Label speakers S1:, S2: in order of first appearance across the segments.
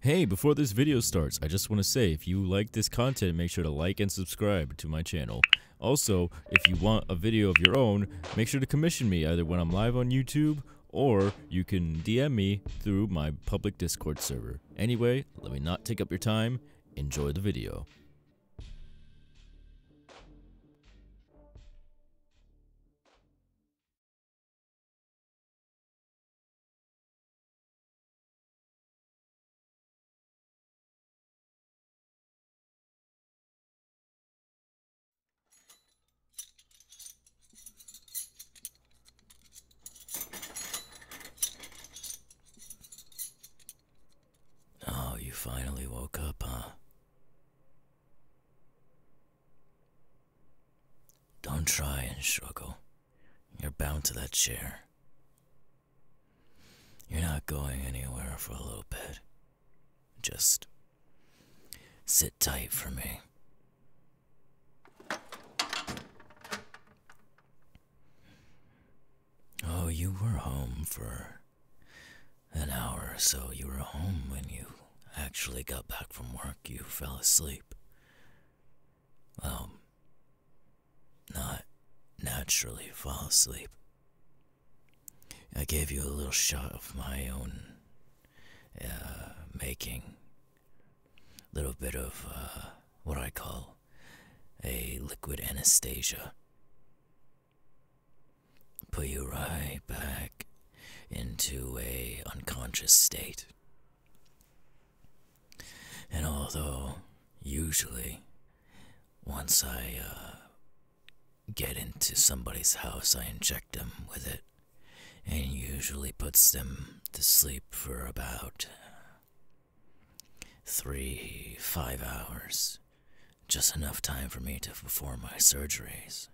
S1: Hey, before this video starts, I just want to say if you like this content, make sure to like and subscribe to my channel. Also, if you want a video of your own, make sure to commission me either when I'm live on YouTube or you can DM me through my public Discord server. Anyway, let me not take up your time. Enjoy the video. Oh, you finally woke up, huh? Don't try and struggle. You're bound to that chair. You're not going anywhere for a little bit. Just sit tight for me. Oh, you were home for an hour or so you were home when you actually got back from work, you fell asleep. Um, not naturally fall asleep. I gave you a little shot of my own uh, making. A little bit of uh, what I call a liquid anesthesia put you right back into a unconscious state. And although usually once I uh, get into somebody's house, I inject them with it and usually puts them to sleep for about three, five hours. Just enough time for me to perform my surgeries.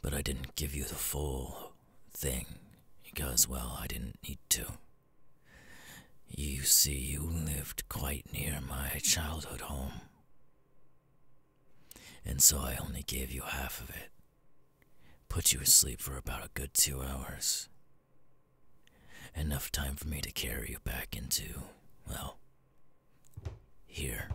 S1: But I didn't give you the full thing because, well, I didn't need to. You see, you lived quite near my childhood home. And so I only gave you half of it. Put you asleep for about a good two hours. Enough time for me to carry you back into, well, here.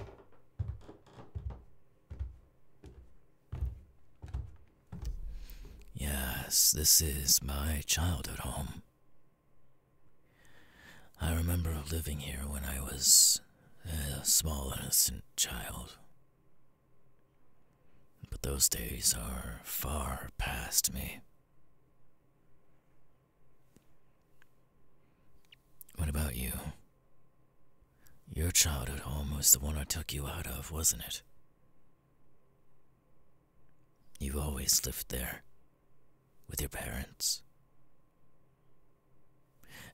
S1: Yes, this is my childhood home. I remember living here when I was a uh, small, innocent child. But those days are far past me. What about you? Your childhood home was the one I took you out of, wasn't it? You always lived there with your parents.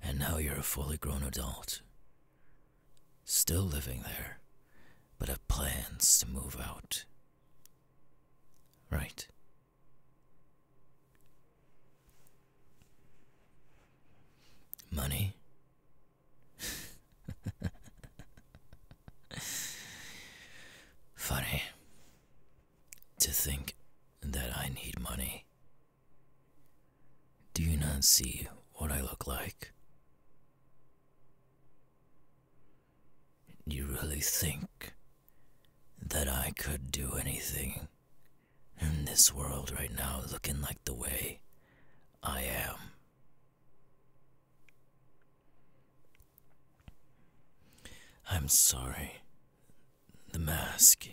S1: And now you're a fully grown adult, still living there, but have plans to move out Right. Money? Funny to think that I need money. Do you not see what I look like? You really think that I could do anything in this world right now looking like the way I am? I'm sorry. The mask.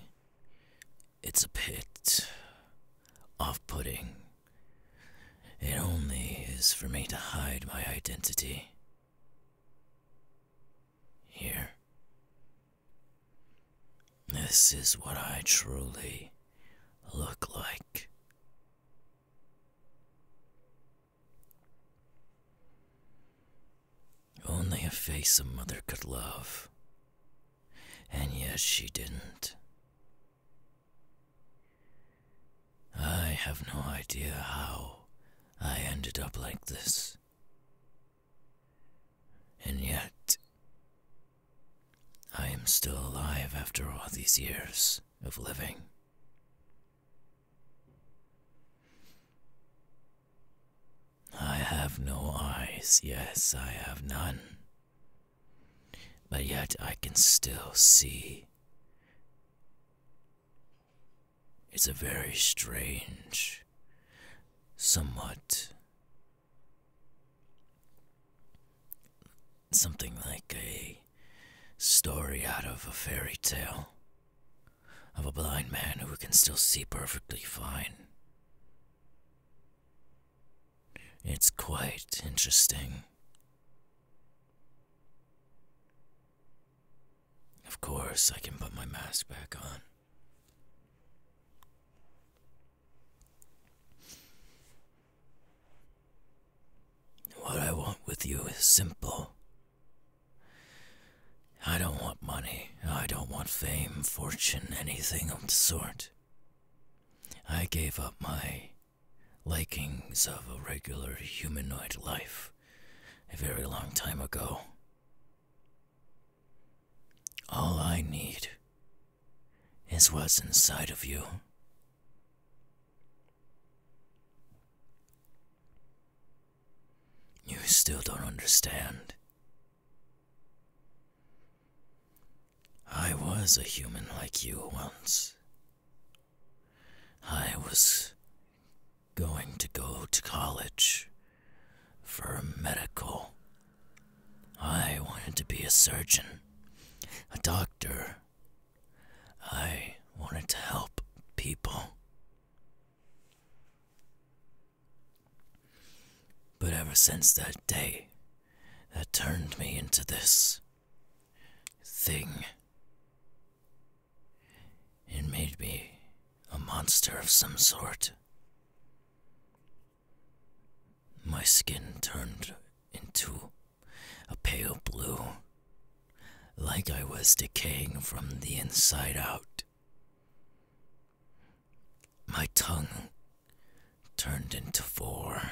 S1: It's a pit, off putting. It only is for me to hide my identity. Here. This is what I truly look like. Only a face a mother could love, and yet she didn't. I have no idea how I ended up like this. And yet, I am still alive after all these years of living. I have no eyes, yes, I have none. But yet I can still see it's a very strange, somewhat something like a story out of a fairy tale of a blind man who can still see perfectly fine. It's quite interesting. Of course, I can put my mask back on. What I want with you is simple. I don't want money. I don't want fame, fortune, anything of the sort. I gave up my likings of a regular humanoid life a very long time ago. All I need is what's inside of you. You still don't understand. I was a human like you once. I was going to go to college for medical. I wanted to be a surgeon, a doctor. I wanted to help people. But ever since that day, that turned me into this thing. It made me a monster of some sort. My skin turned into a pale blue, like I was decaying from the inside out. My tongue turned into four,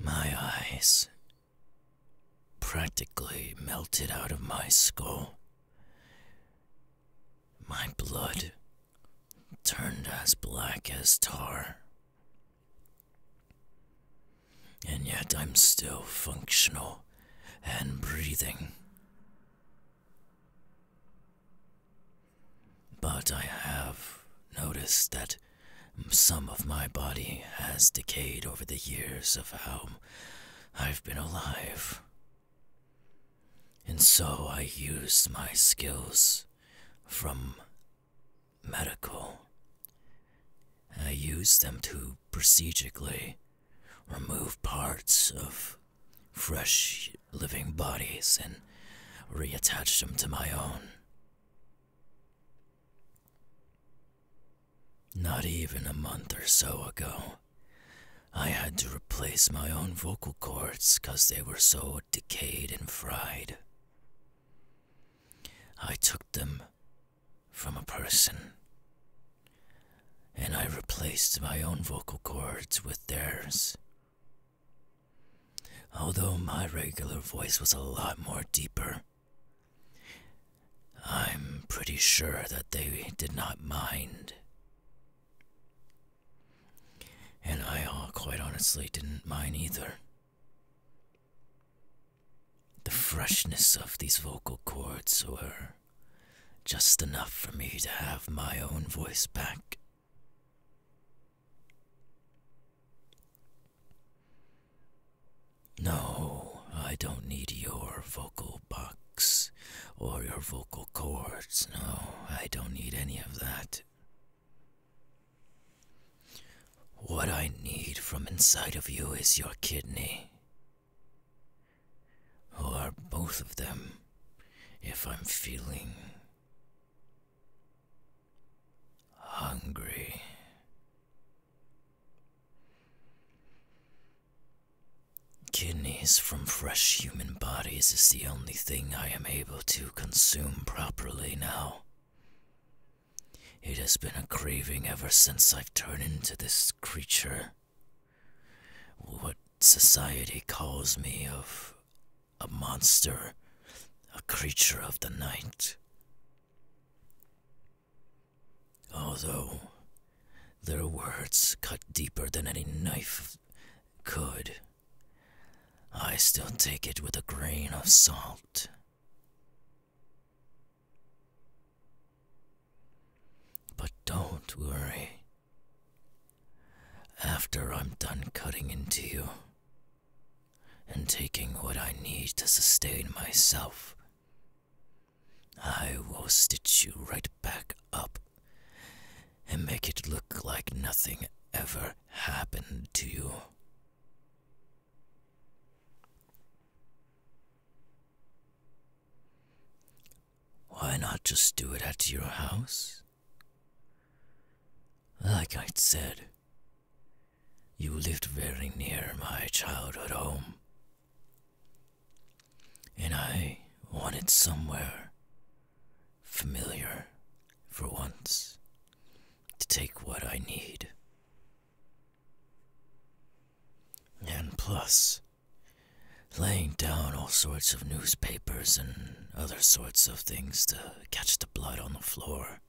S1: my eyes practically melted out of my skull. My blood turned as black as tar. And yet I'm still functional and breathing. But I have noticed that some of my body has decayed over the years of how I've been alive. And so I used my skills from medical. I used them to procedurally remove parts of fresh living bodies and reattach them to my own. Not even a month or so ago, I had to replace my own vocal cords because they were so decayed and fried. I took them from a person and I replaced my own vocal cords with theirs. Although my regular voice was a lot more deeper I'm pretty sure that they did not mind. And I uh, quite honestly didn't mind either. The freshness of these vocal cords were just enough for me to have my own voice back. No, I don't need your vocal box or your vocal cords. No, I don't need any of that. What I need from inside of you is your kidney. Or both of them, if I'm feeling hungry. Kidneys from fresh human bodies is the only thing I am able to consume properly now. It has been a craving ever since I've turned into this creature. What society calls me of a monster, a creature of the night. Although their words cut deeper than any knife could, I still take it with a grain of salt. But don't worry. After I'm done cutting into you, and taking what I need to sustain myself, I will stitch you right back up and make it look like nothing ever happened to you. Why not just do it at your house? Like I said, you lived very near my childhood home. And I wanted somewhere familiar for once to take what I need. And plus, laying down all sorts of newspapers and other sorts of things to catch the blood on the floor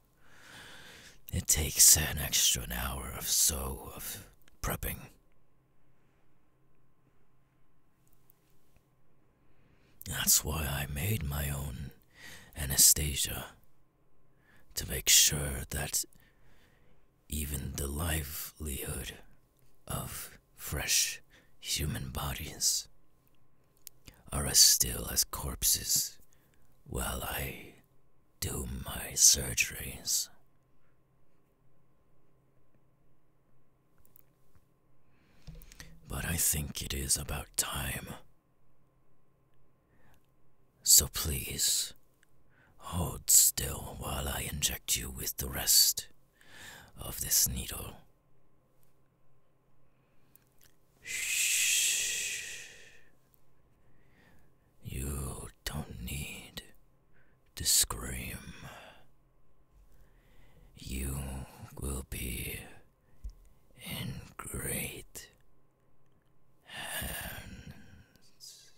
S1: it takes an extra an hour or so of prepping. That's why I made my own anesthesia. to make sure that even the livelihood of fresh human bodies are as still as corpses while I do my surgeries. But I think it is about time. So please, hold still while I inject you with the rest of this needle. Shh. You don't need to scream. You will be in great hands.